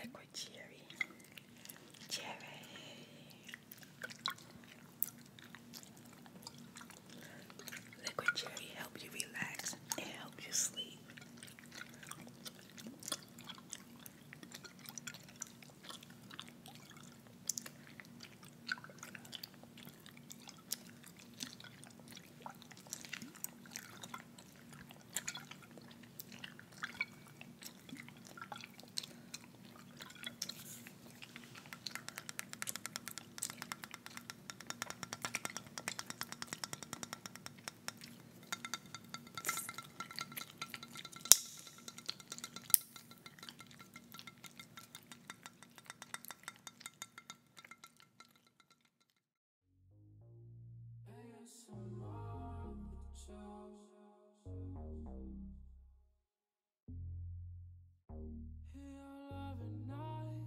Liquid cherry, cherry. Liquid cherry helps you relax and helps you sleep. Hear your loving night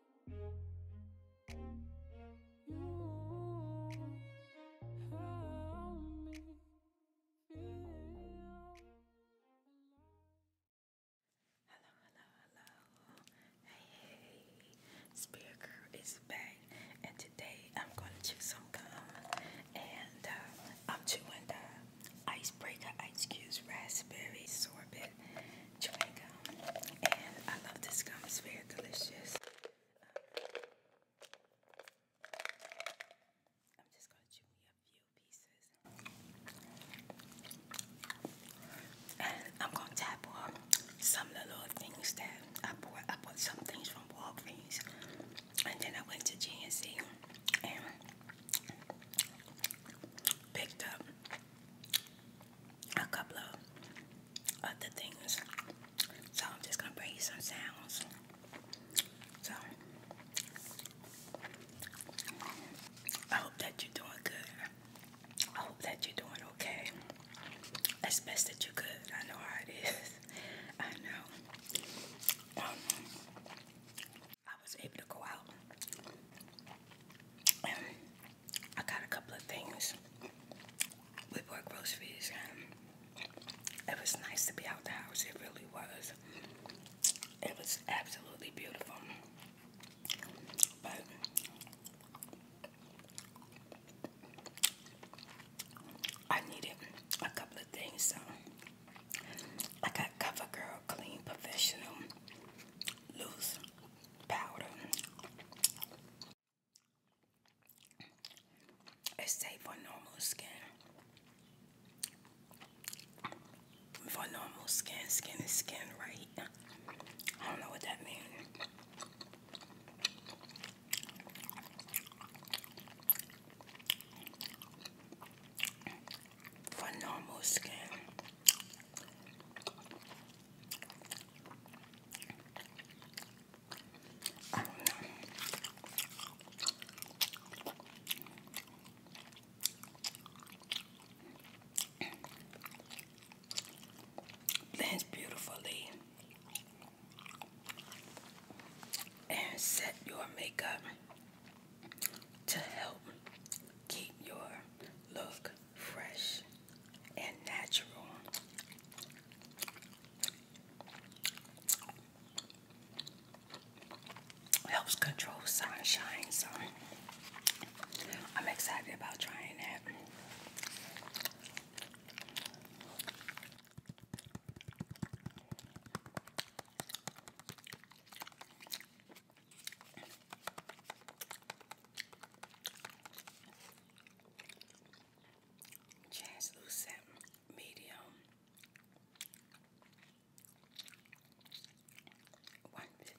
Hello, hello, hello. Hey, hey. Girl is back, and today I'm going to chew some gum. And uh, I'm chewing the Icebreaker Ice Cubes Raspberry Sorbet chocolate And I love this gum, it's very delicious. Um, I'm just gonna chew a few pieces. And I'm gonna tap on some of the little things that I bought. I bought some things from Walgreens. And then I went to GNC and picked up a couple of other things. So I'm just gonna bring you some sounds. So I hope that you're doing good. I hope that you're doing okay. As best that you could. I know how it is. I know. Um, I was able to go out I got a couple of things We bought groceries, and it was nice to be out the house. It really was. It was absolutely beautiful. But I needed a couple of things, so I got CoverGirl Clean Professional Loose Powder. It's safe for normal skin. For normal skin, skin is skin, right? I don't know what that means. For normal skin, Blends beautifully and set your makeup to help keep your look fresh and natural. Helps control sunshine, so I'm excited about trying that translucent medium 115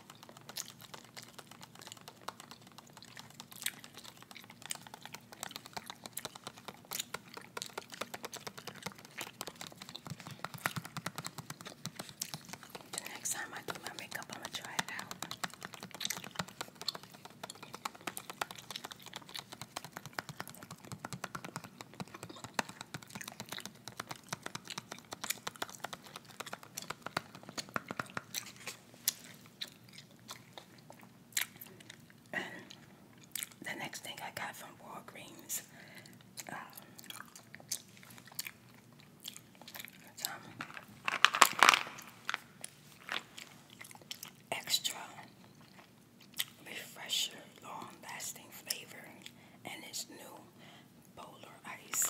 The next time I do my makeup, I'm gonna try it out. And the next thing I got from Walgreens um, extra refresher long lasting flavor and it's new polar ice.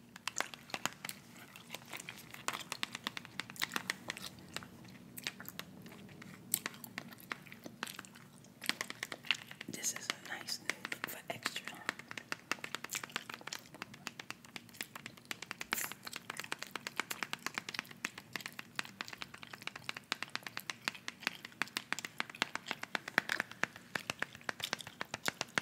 This is a nice new for extra.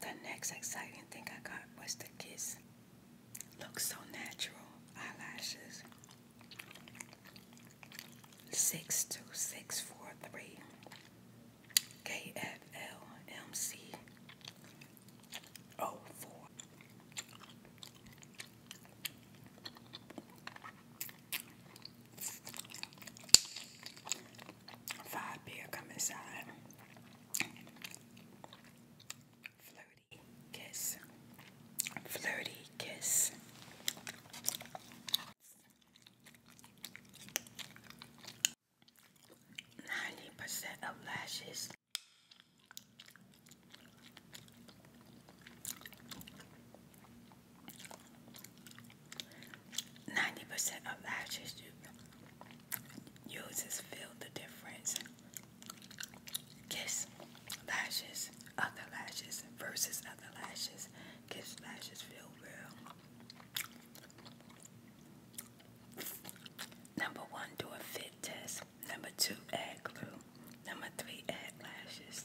The next exciting thing I got was the kiss. Looks so natural. Eyelashes. Six two six four three. K F L M C. Oh four. Five beer come inside. Flirty kiss. Flirty kiss. Ninety percent of lashes. Ninety percent of lashes you uses feel the difference. Kiss lashes, other lashes versus other lashes. Kiss lashes feel real. Number one, do a fit test. Number two, add glue. Number three, add lashes.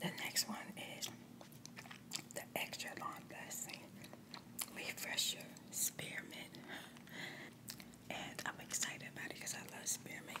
The next one is the extra long blessing. Refresh your spearman, and I'm excited about it because I love spear makeup.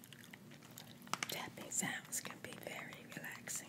Tapping sounds can be very relaxing.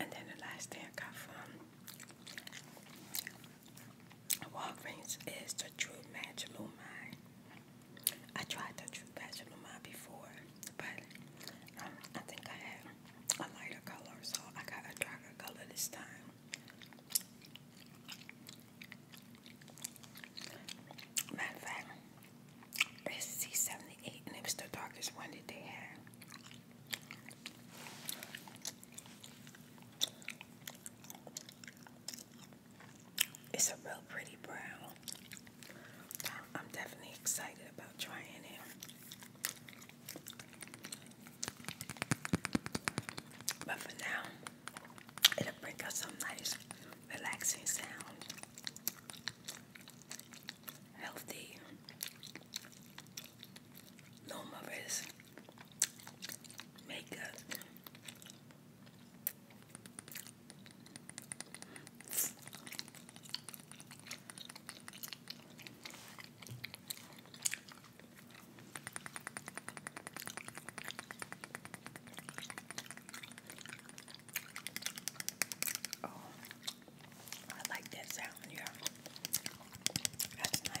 And then the last thing I got from Walgreens is the True Match Lumine. I tried the True Match Lumine before, but um, I think I had a lighter color, so I got a darker color this time. Matter of it's 78 and it the darkest one that they had. It's a real pretty brown. I'm definitely excited about trying it. But for now, it'll bring us some nice relaxing sound healthy, numerous makeup. Oh, I like that sound, yeah. That's nice.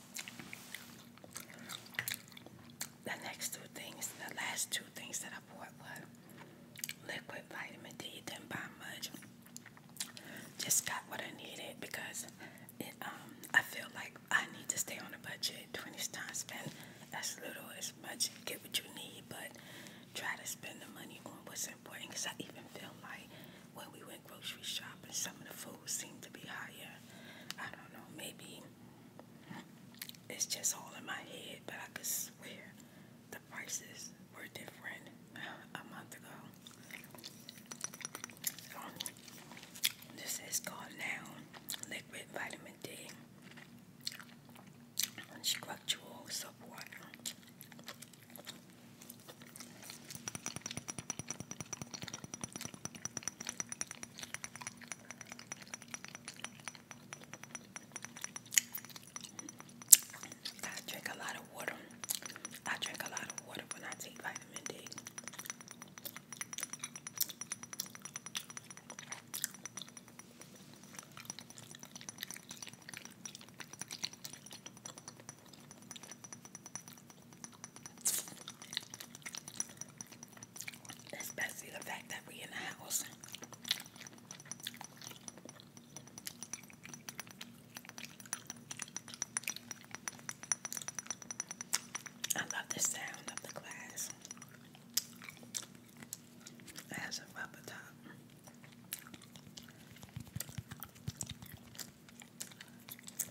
The next two things, the last two things that I bought were liquid vitamin D. Didn't buy much. Just got what I needed because it, um, I feel like I need to stay on a budget. 20s time spend as little as much. Get what you need, but try to spend the money on what's important. Because I even feel like when we went grocery shopping, some of the food seemed to be higher. I don't know, maybe it's just all in my head, but I could swear the prices were different a month ago. Um, this is called now liquid vitamin D structural support. I drink a lot of water. I drink a lot of water when I take vitamin D. Especially the fact that we are in the house. I love the sound of the glass. It has a top.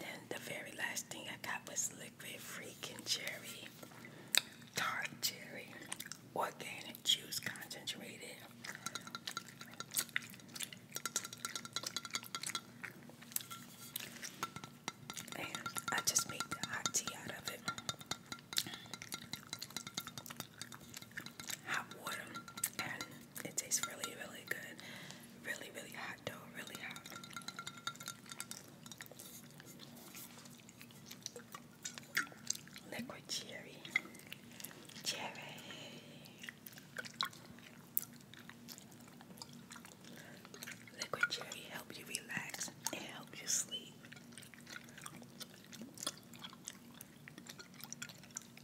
Then the very last thing I got was liquid freaking cherry, tart cherry, organic juice concentrated. And I just made the hot tea out of it. Hot water and it tastes really, really good. Really, really hot dough, really hot. Liquid cherry. Cherry. Liquid cherry help you relax and help you sleep.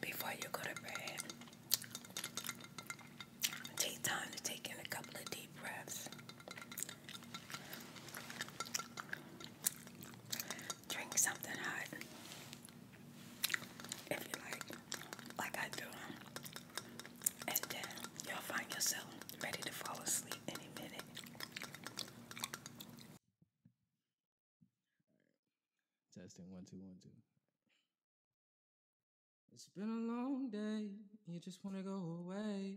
Before you go to bed, take time to take in a couple of deep breaths drink something hot if you like, like I do, and then you'll find yourself ready to fall asleep any minute. Testing one, two, one, two. It's been a long day, you just want to go away.